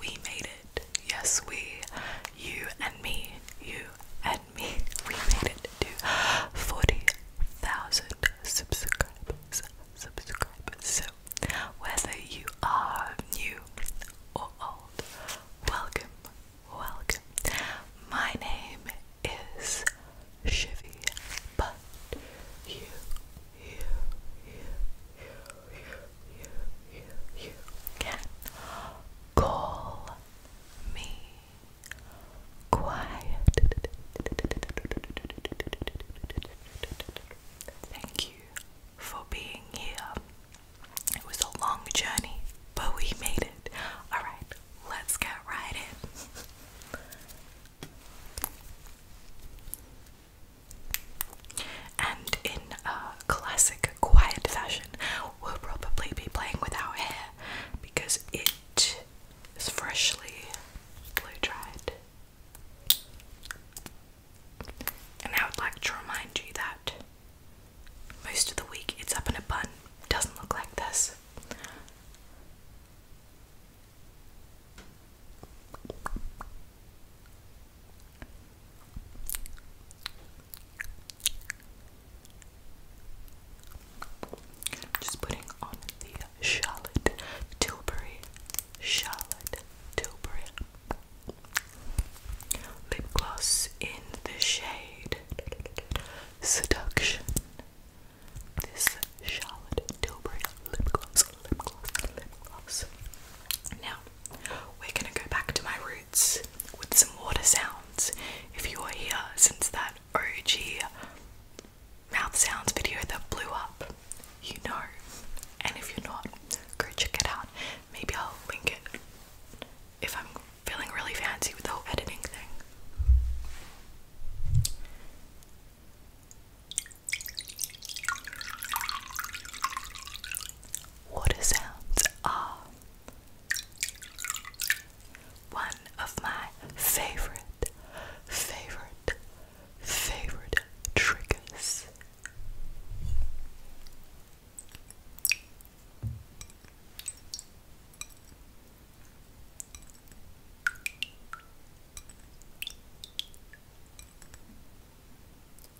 we made it. Yes, we, you and me, you and me, we made it to 40,000 subscribers. Subscribers. So, whether you are new or old, welcome, welcome. My name is Shivy, but you, you, you, you you, you, you can call me quiet. Thank you for being here. It was a long journey, but we made it. Alright, let's get right in and in a classic quiet fashion, we'll probably be playing with our hair because it is freshly blow dried. And I would like to remind you that most of the week it's up in a bun, doesn't look like this. Just putting on the Charlotte Tilbury, Charlotte Tilbury lip gloss in the shade Seduction. This Charlotte Tilbury lip gloss, lip gloss, lip gloss. Now, we're gonna go back to my roots with some water sounds. If you are here since that OG mouth sounds video that blew up, you know. And if you're not, go check it out. Maybe I'll link it if I'm feeling really fancy with the whole editing thing. Water sounds are one of my favorite, favorite, favorite triggers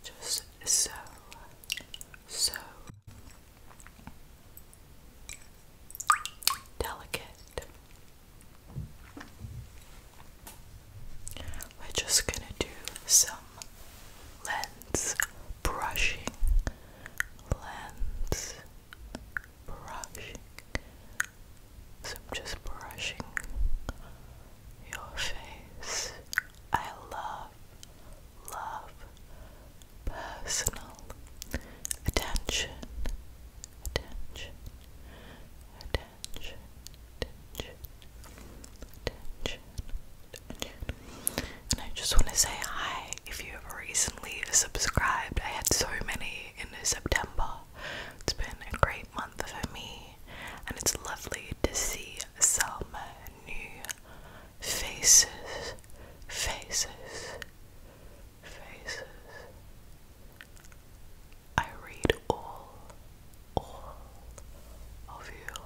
just so, so delicate. We're just going to do some lens brushing, lens brushing. So I'm just brushing your face. I love, love personal attention, attention, attention, attention, attention, And I just want to say hi if you have recently subscribed. I had so many in September. It's been a great month for me and it's lovely to see some new faces, faces, faces. I read all, all of your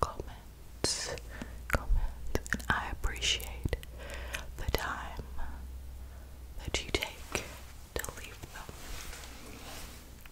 comments, comments, and I appreciate the time that you take to leave them.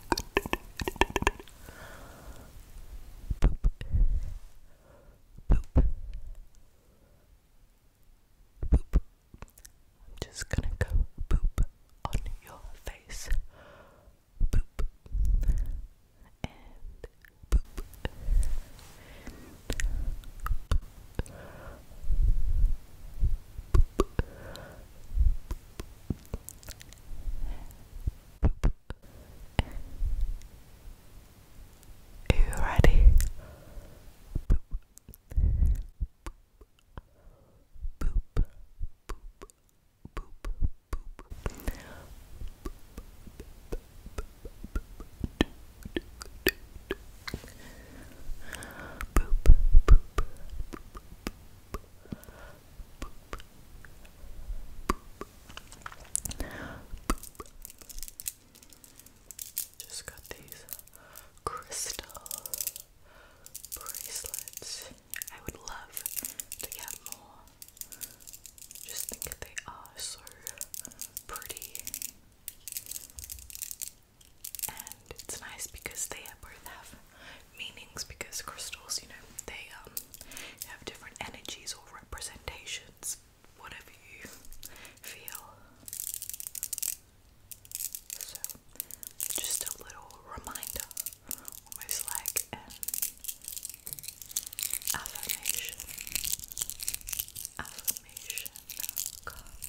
Boop. Boop. I'm just gonna go boop on your face. Boop. And boop. Boop. Boop. Boop. Are you ready? Just got these crystal bracelets. I would love to get more. Just think they are so pretty. And it's nice because they both have meanings because crystals, you know, they um, have different energies or representations, whatever you feel. So just a little reminder, almost like affirmation. Affirmation card.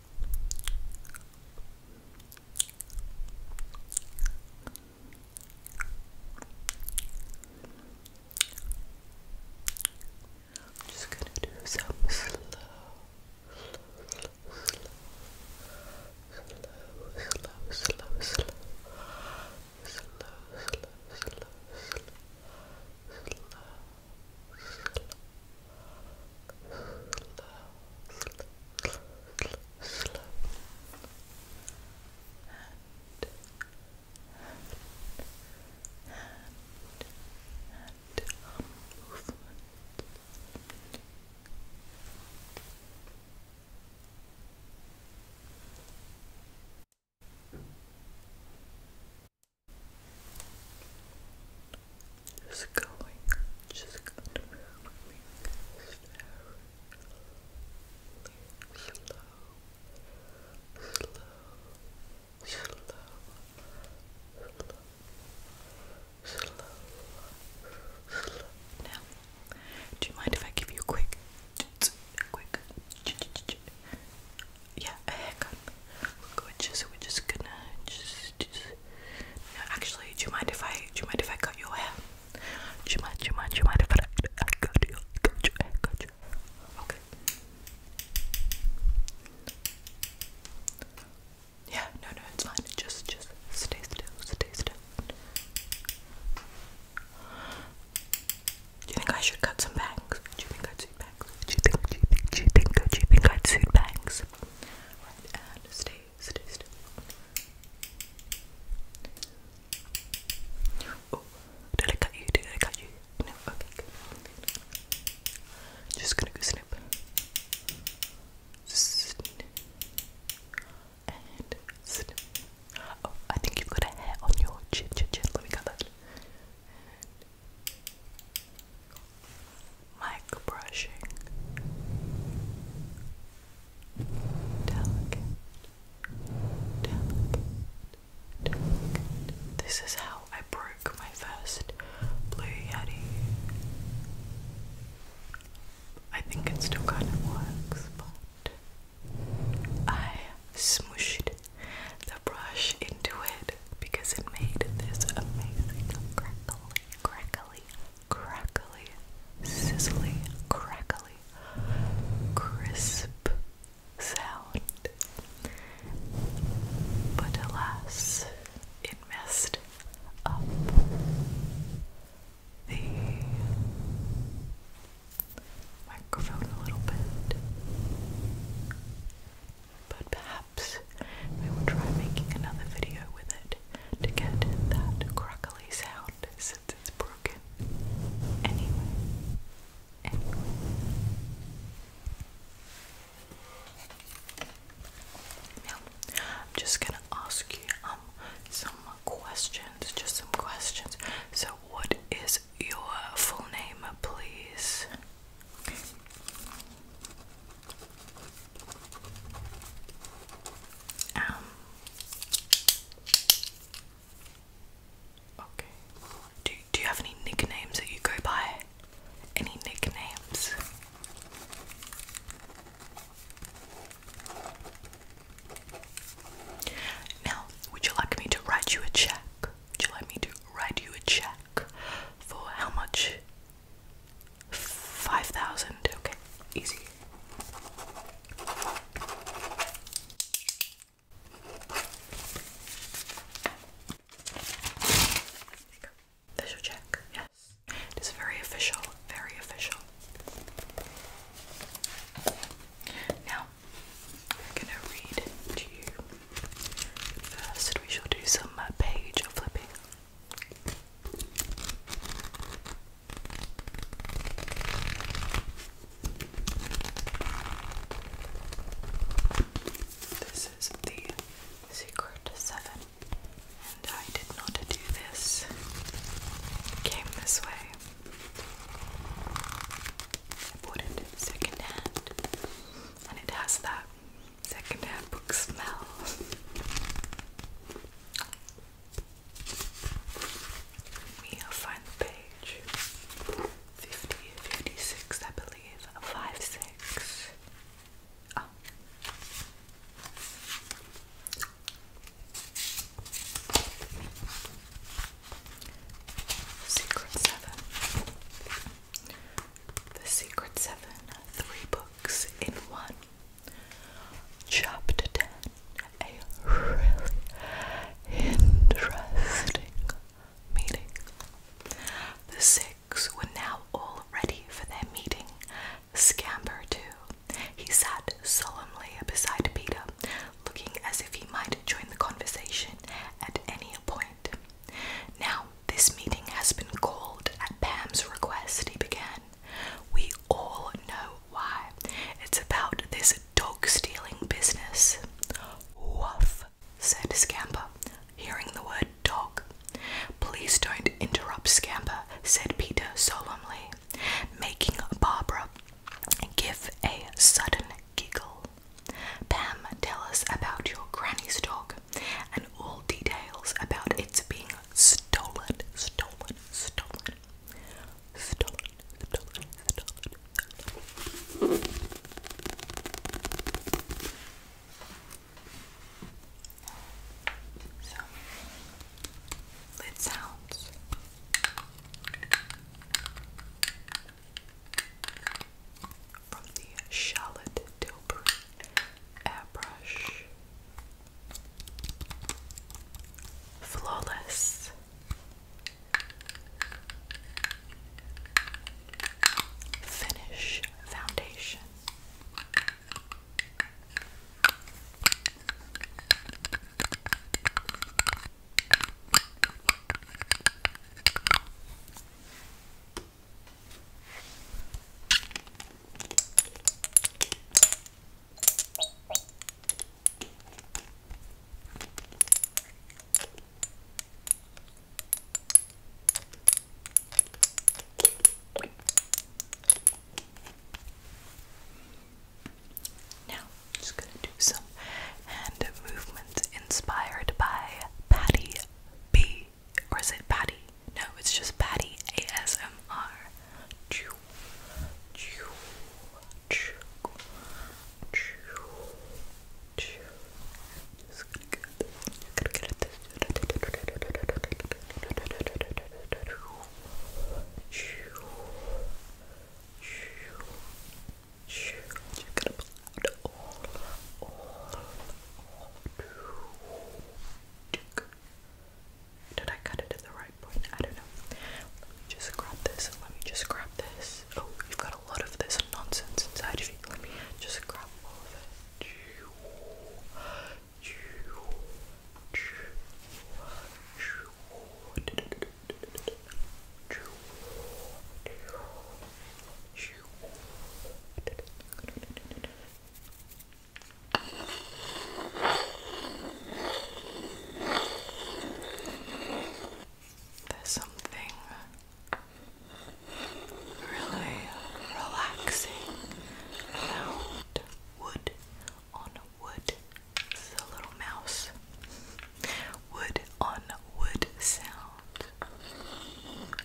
I'm just gonna do some slow, slow, slow, slow, slow, slow, slow, slow, slow, slow, slow, slow, slow, slow, slow, slow, and, and, and, and um, movement. Just going, just going to move me slow, slow, slow, slow, slow, slow. Now, do you mind if I give you a quick, quick, yeah, a haircut? We're just we're just gonna just, just no, actually do you mind if I do you mind if I cut your hair? Do you mind do you mind do you mind if I, I cut your cut your hair cut your Okay. Yeah, no no it's fine. Just just stay still, stay still. Do you think I should cut some bangs? Do you think I'd suit bangs? Do you think do you think do you think do you think I'd suit bangs? forward and stay, stay still. Oh, did I cut you? Did I cut you? No, okay, good. Just gonna go snip. Snip. And snip. Oh, I think you've got a hair on your chin, chin, chin. Let me cut that. And Mic brushing. This is how I broke my first Blue Yeti. I think it still kind of works, but I smooshed the brush into it because it made this amazing crackling crackly, crackly, sizzly, crackly, crisp sound. But alas, it messed up the microphone a little bit but perhaps we will try making another video with it to get that crackly sound since it's broken. Anyway, anyway. I'm just gonna ask you um, some questions, just some questions. So, what is your full name, please? Um, okay. Do Do you have any nicknames that you go by? Any nicknames? Now, would you like me to write you a check? Would you like me to write you a check for how much Five thousand. Okay, easy. Official check. Yes, it is very official. Very official. Now, I'm gonna read to you. First, we shall do some uh, page flipping. This is the Secret 7, and I did not do this. came this way. I bought and it has that Second half book smell. Me, find the page. 50, I believe. 5, 6. Secret 7. The Secret Seven, three books in one. Chapter 10, a really interesting meeting. The six were now all ready for their meeting. Scamper, too. He sat solemnly beside Peter, looking as if he might join the conversation at any point. Now, this meeting has been called at Pam's request, he began. We all know why. It's about this dog stealing business. Woof, said Scamper, hearing the word dog. Please don't interrupt Scamper, said Peter solemnly, making Barbara give a sudden giggle. Pam, tell us about your granny's dog, and all details about its being stolen, stolen, stolen, stolen, stolen, stolen. So, lid sounds. From the Charlotte Tilbury Airbrush Flawless Finish Foundation now, i just going to do some hand movements inspired by Patty B or is it Patty? No, it's just Patty ASMR. Chew, chew, chew, chew, chew. Just going Gonna get this. Chew, chew, gonna pull out all, did I cut it at the right point? I don't know. Let me just grab this. Let me just grab this. Oh, you've got a lot of this nonsense inside of you. Let me just grab all of it. There's something really relaxing about wood on wood. This a little mouse. Wood on wood sound.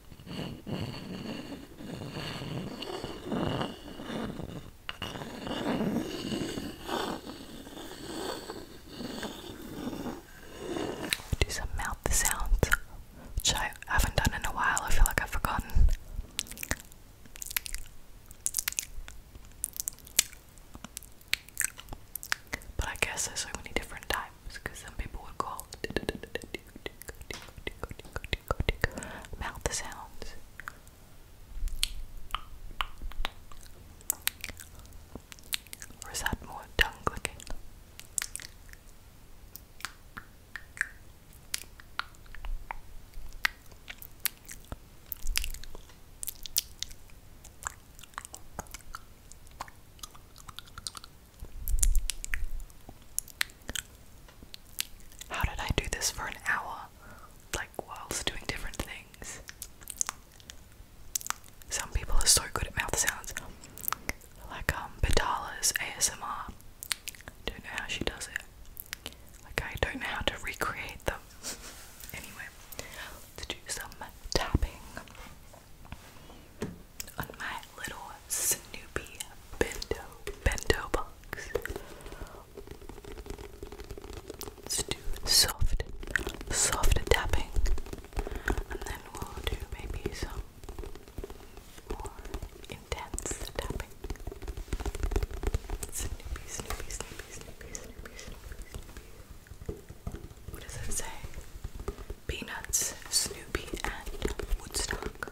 Do some mouth sounds, which I haven't done in a while. I feel like I've forgotten. But I guess there's so many different types because some people would call tickle, mouth sounds. Or is that more tongue clicking? How did I do this for an hour? Like, whilst doing different things. Some people are so good at mouth sounds. Like, um, Batala's ASMR. Don't know how she does it. Like, I don't know how to recreate them. anyway, let do some tapping on my little Snoopy bento bento Let's do soft, soft tapping, and then we'll do maybe some more intense tapping. Snoopy, Snoopy, Snoopy, Snoopy, Snoopy, Snoopy, Snoopy. What does it say? Peanuts, Snoopy, and Woodstock.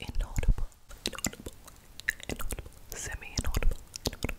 inaudible, inaudible, inaudible, semi-inaudible, inaudible,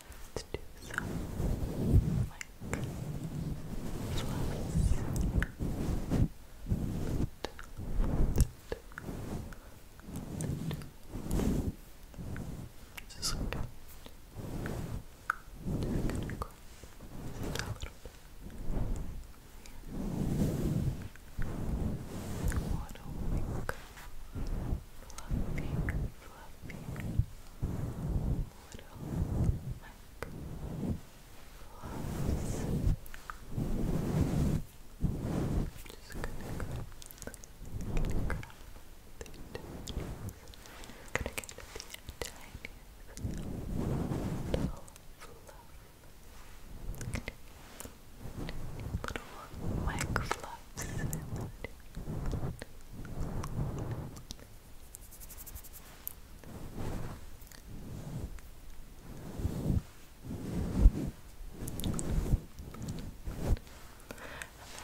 Let's do some like fluffs. Just like that. Just gonna go just a little bit. What a week. Fluffy, little mic I'm just gonna go gonna gonna get the tiniest little fluff. Little mic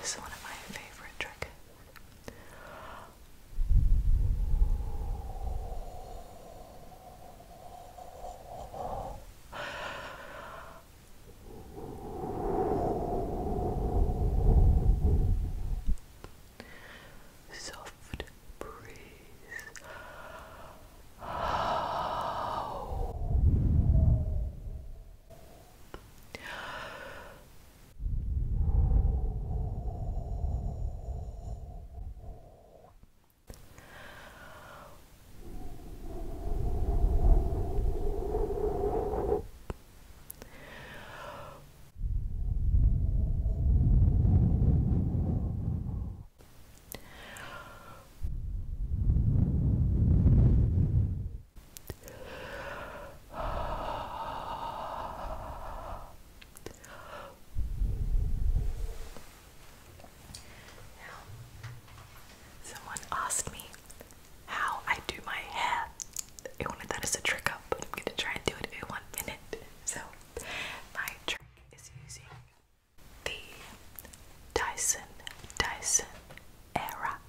this is one of my favorite tricks. Soft breeze. Now, someone asked me how I do my hair. I wanted that as a trick up, I'm gonna try and do it in one minute. So, my trick is using the Dyson Dyson Airwrap.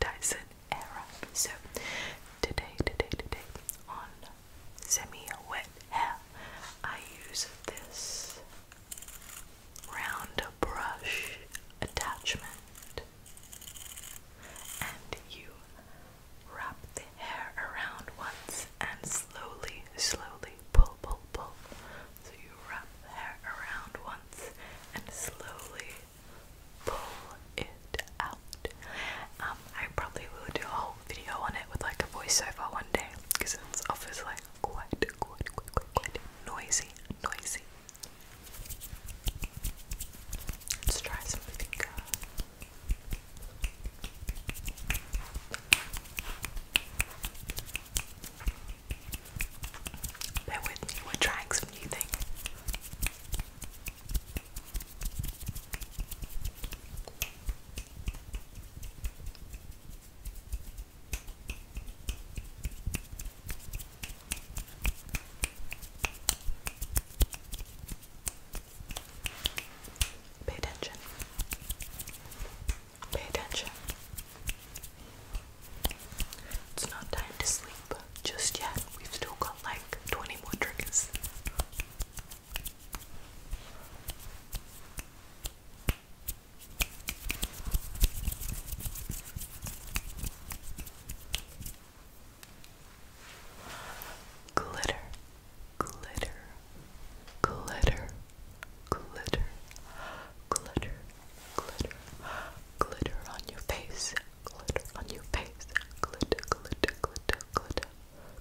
Dyson Airwrap. So, today, today, today, on semi wet hair, I use this round brush attachment it. And you wrap the hair around once and slowly, slowly pull, pull, pull. So you wrap the hair around once and slowly pull it out. Um, I probably will do a whole video on it with like a voiceover one day because it's obviously like quite, quite, quite, quite, quite noisy, noisy, Let's try something good. Bear with me, we're trying some new things. Pay attention. Pay attention. It's not time to sleep just yet. We've still got like 20 more triggers. Glitter, glitter, glitter, glitter, glitter, glitter, glitter on your face, glitter on your face, glitter, glitter, glitter, glitter,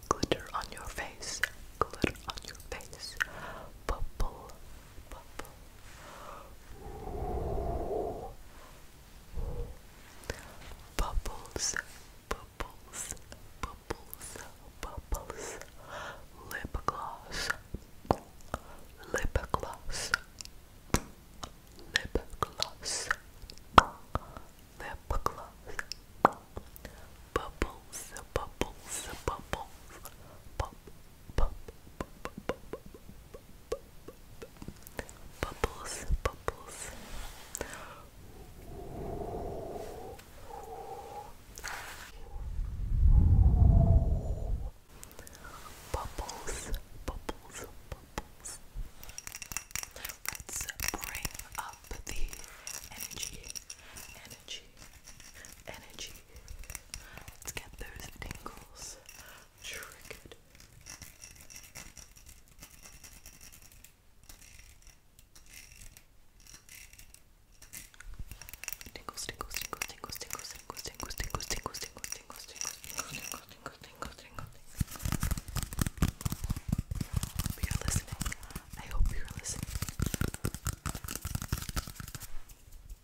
glitter on your face, glitter on your face, bubble, bubble. Bubbles, bubbles, bubbles, bubbles. Lip gloss, lip gloss, lip gloss, lip gloss. Bubbles, bubbles, bubbles, bub, bub, bub, bub, bub, bubbles, bubbles. Bubbles, bubbles, bubbles. Let's bring up the energy, energy, energy. Let's get those tingles, Triggered. Tingles, tingles, tingles, tingles, tingles, tingles, tingles, tingles, tingles, tingles, tingles, tingles, tingles, tingles, tingles, tingles. Hope you're listening. I hope you're listening.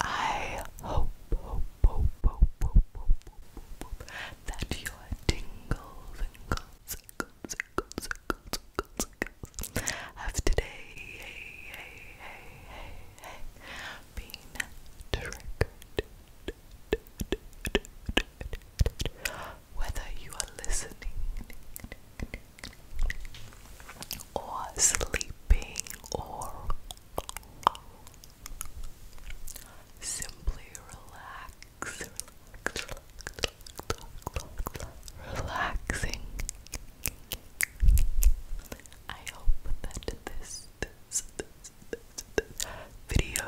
I hope, hope, hope, hope, hope, hope, hope, that your tingles and guts, guts, guts, have today, been triggered whether you are listening or sleeping or simply relaxing. I hope that this video,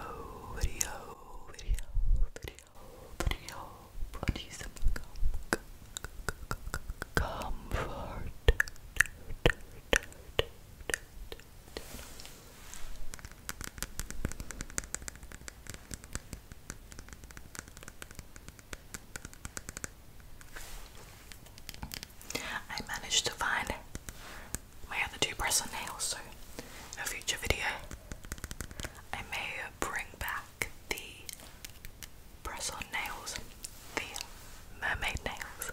I managed to find my other two press on nails, so a future video I may bring back the press on nails, the mermaid nails.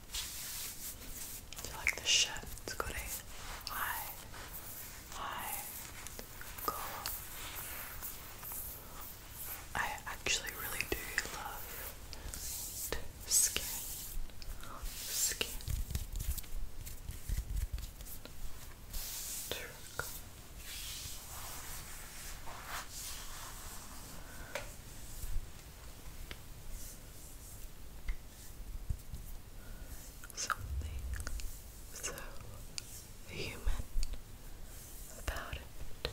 like this shirt? It's got a high, I actually really do love skin, skin. Trick something so human about it.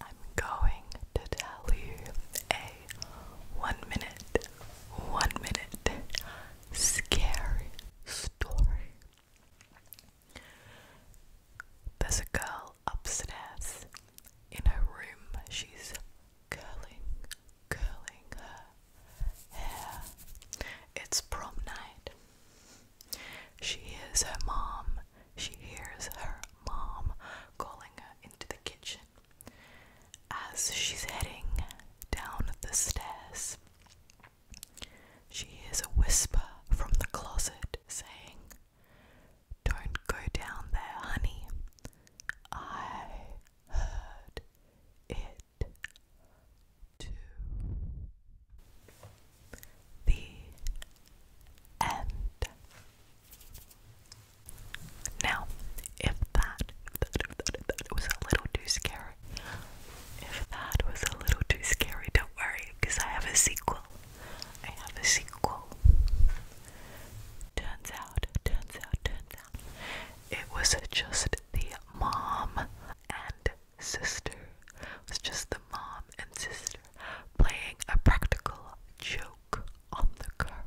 I'm going to tell you a one minute, one minute scary story. There's a girl upstairs in her room. She's curling, curling her hair. It's prom night. She hears her mom. She hears her mom calling her into the kitchen. As she's heading down the stairs, she hears a whisper from the closet saying, Don't go down there, honey. I heard it too. The end. Now, if that, if that, if that, if that was a little too scary, if that was a little too scary, don't worry, because I have a sequel. I have a sequel. Turns out, turns out, turns out, it was just the mom and sister. It was just the mom and sister playing a practical joke on the girl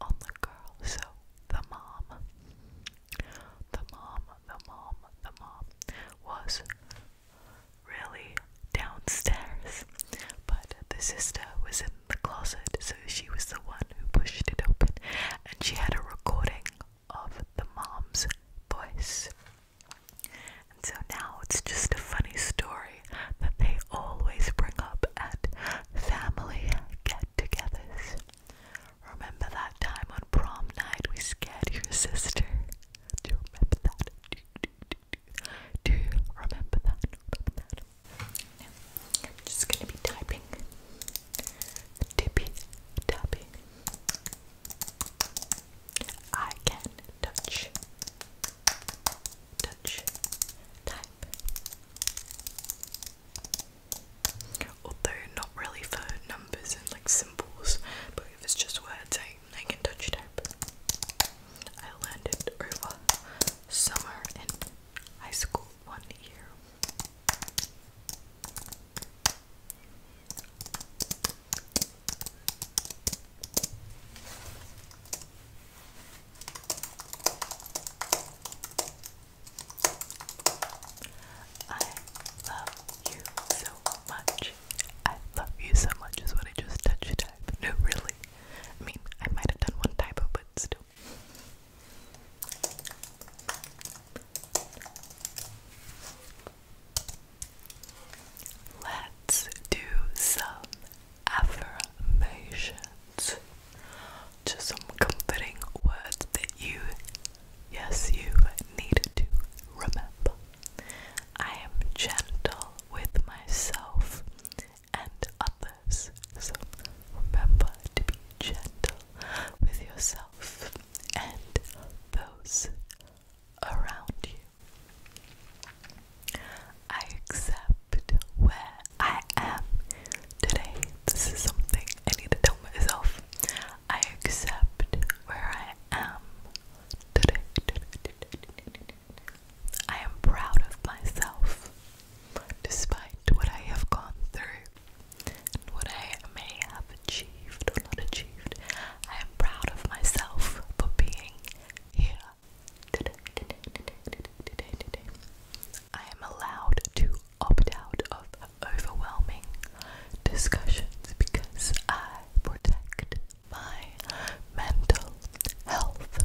on the girl. So the mom, the mom, the mom, the mom was really downstairs, but the sister was in the closet, so she was the one who pushed it open, and she had a recording of the mom's voice. And so now it's just a funny story that they always bring up at family get togethers. Remember that time on prom night we scared your sister? Do you remember that? Do, you remember that? I'm just going to be typing. Tippy tapping. I can touch. Touch. Type type. Although not really for numbers and like symbols, but if it's just words, I, I can touch type. I learned over summer in high school one year. I love you so much. I love you so much is what I just touched type. No, really. I mean, I might have done one typo, but still. Let's do some affirmations. Just some comforting words that you, yes, you need to remember. I am gentle with myself and others. So remember to be gentle with yourself and those around you. I accept where I am today. This is something I need to tell myself. I accept where I am today. I am proud of myself despite what I have gone through and what I may have achieved or not achieved. I am proud of myself for being here I am allowed to opt out of overwhelming discussions because I protect my mental health.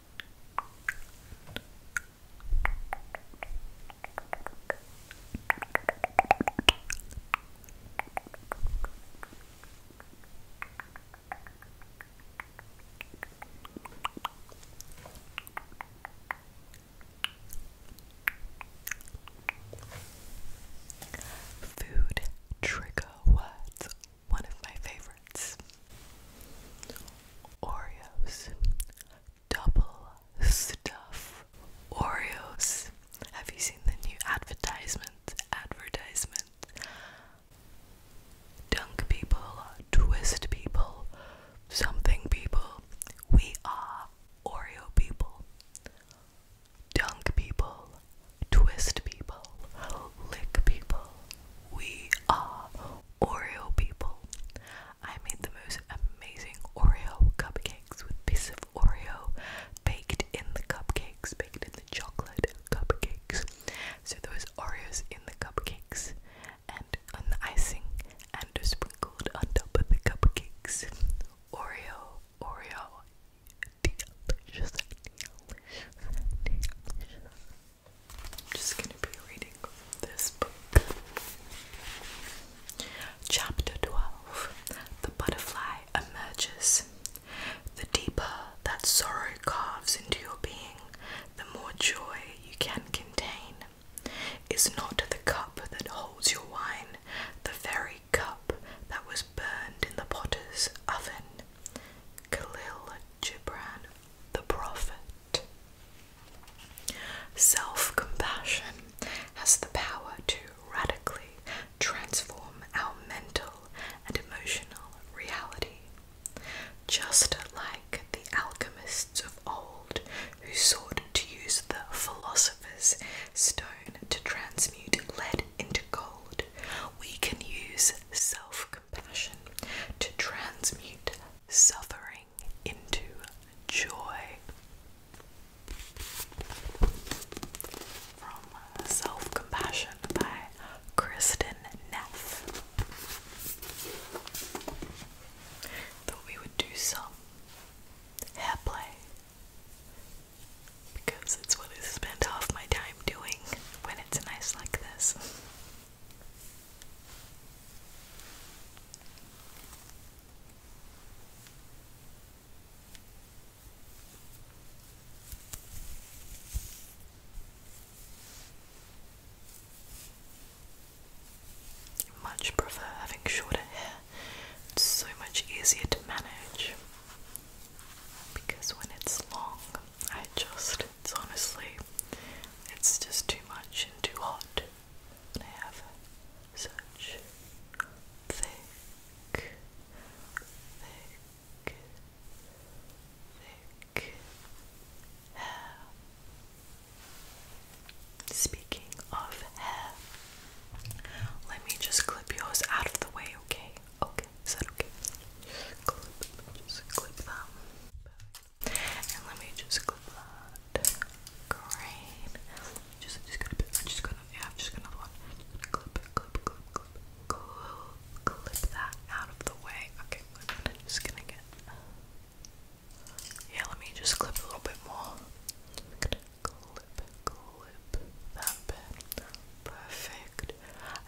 Food trigger words one of my favorites Oreos. Double stuff Oreos. Have you seen the new advertisement? Advertisement. Dunk people, twist people, something people. We are Oreo people. Dunk people, twist people, lick people. We are Oreo people. I made the most amazing Oreo cupcakes with pieces of Oreo baked in the cupcakes, baked in the chocolate cupcakes. So those Oreos in the cupcakes and on the icing and sprinkled on top of the cupcakes. Oreo, Oreo, delicious, delicious, delicious. I'm just going to be reading this book. Chapter 12 The Butterfly Emerges. The deeper that sorrow carves into your being, the more joy you can contain. Is not the cup that holds your wine the very cup that was burned in the potter's oven? Khalil Gibran the Prophet. Self compassion has the power to radically transform our mental and emotional reality. Just like the alchemists of old who sought to use the philosopher's stone to transmute lead into gold, we can use self compassion compassion to transmute suffering into joy. From Self Compassion by Kristen Neff. Thought we would do some hair play because it's what I spend half my time doing when it's nice like this. Much prefer having shorter hair, it's so much easier to manage because when it's long, I just it's honestly, it's just too much and too hot. And I have such thick, thick, thick hair. Speaking of hair, let me just clip yours out of the way, okay? Okay, is that okay? Clip, just clip that let me just clip that. Great. Just, just gonna, I'm just gonna, yeah, I'm just gonna one. Clip, clip, clip, clip, clip, that out of the way. Okay, i just gonna get. Yeah, let me just clip a little bit more. Clip, clip that bit. Perfect.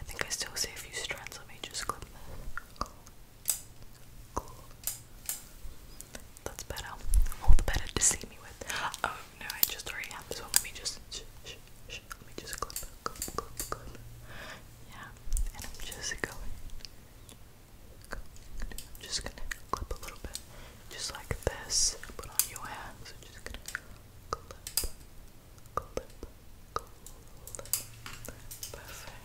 I think I still see a few strands. Let me just clip this. That's better. All the better to see me with. Oh no, I just already have this one. Let me just let me just clip, clip, clip, clip. Yeah, and I'm just going. just gonna clip a little bit, just like this. Put on your hands. just gonna clip, clip, clip. Perfect.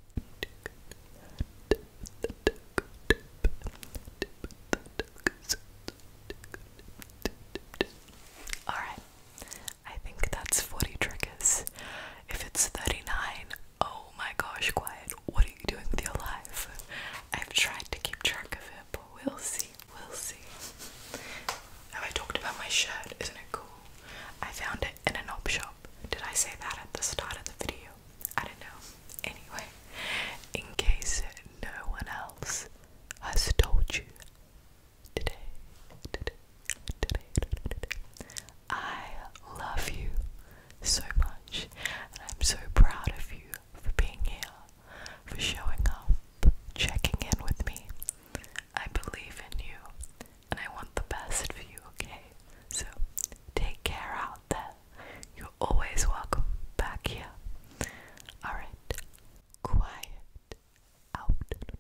Alright, I think that's 40 triggers. If it's 39, my gosh, Quiet, what are you doing with your life? I've tried to keep track of it, but we'll see, we'll see. Have I talked about my shirt? Isn't it cool? I found it in an op shop. Did I say that at the start of the video? I don't know. Anyway, in case no one else has told you today, today, today, today, today I love you so much, and I'm so proud of you for being here, for showing up, checking in with me. I believe in you, and I want the best for you, okay? So take care out there. You're always welcome back here. Alright, quiet out.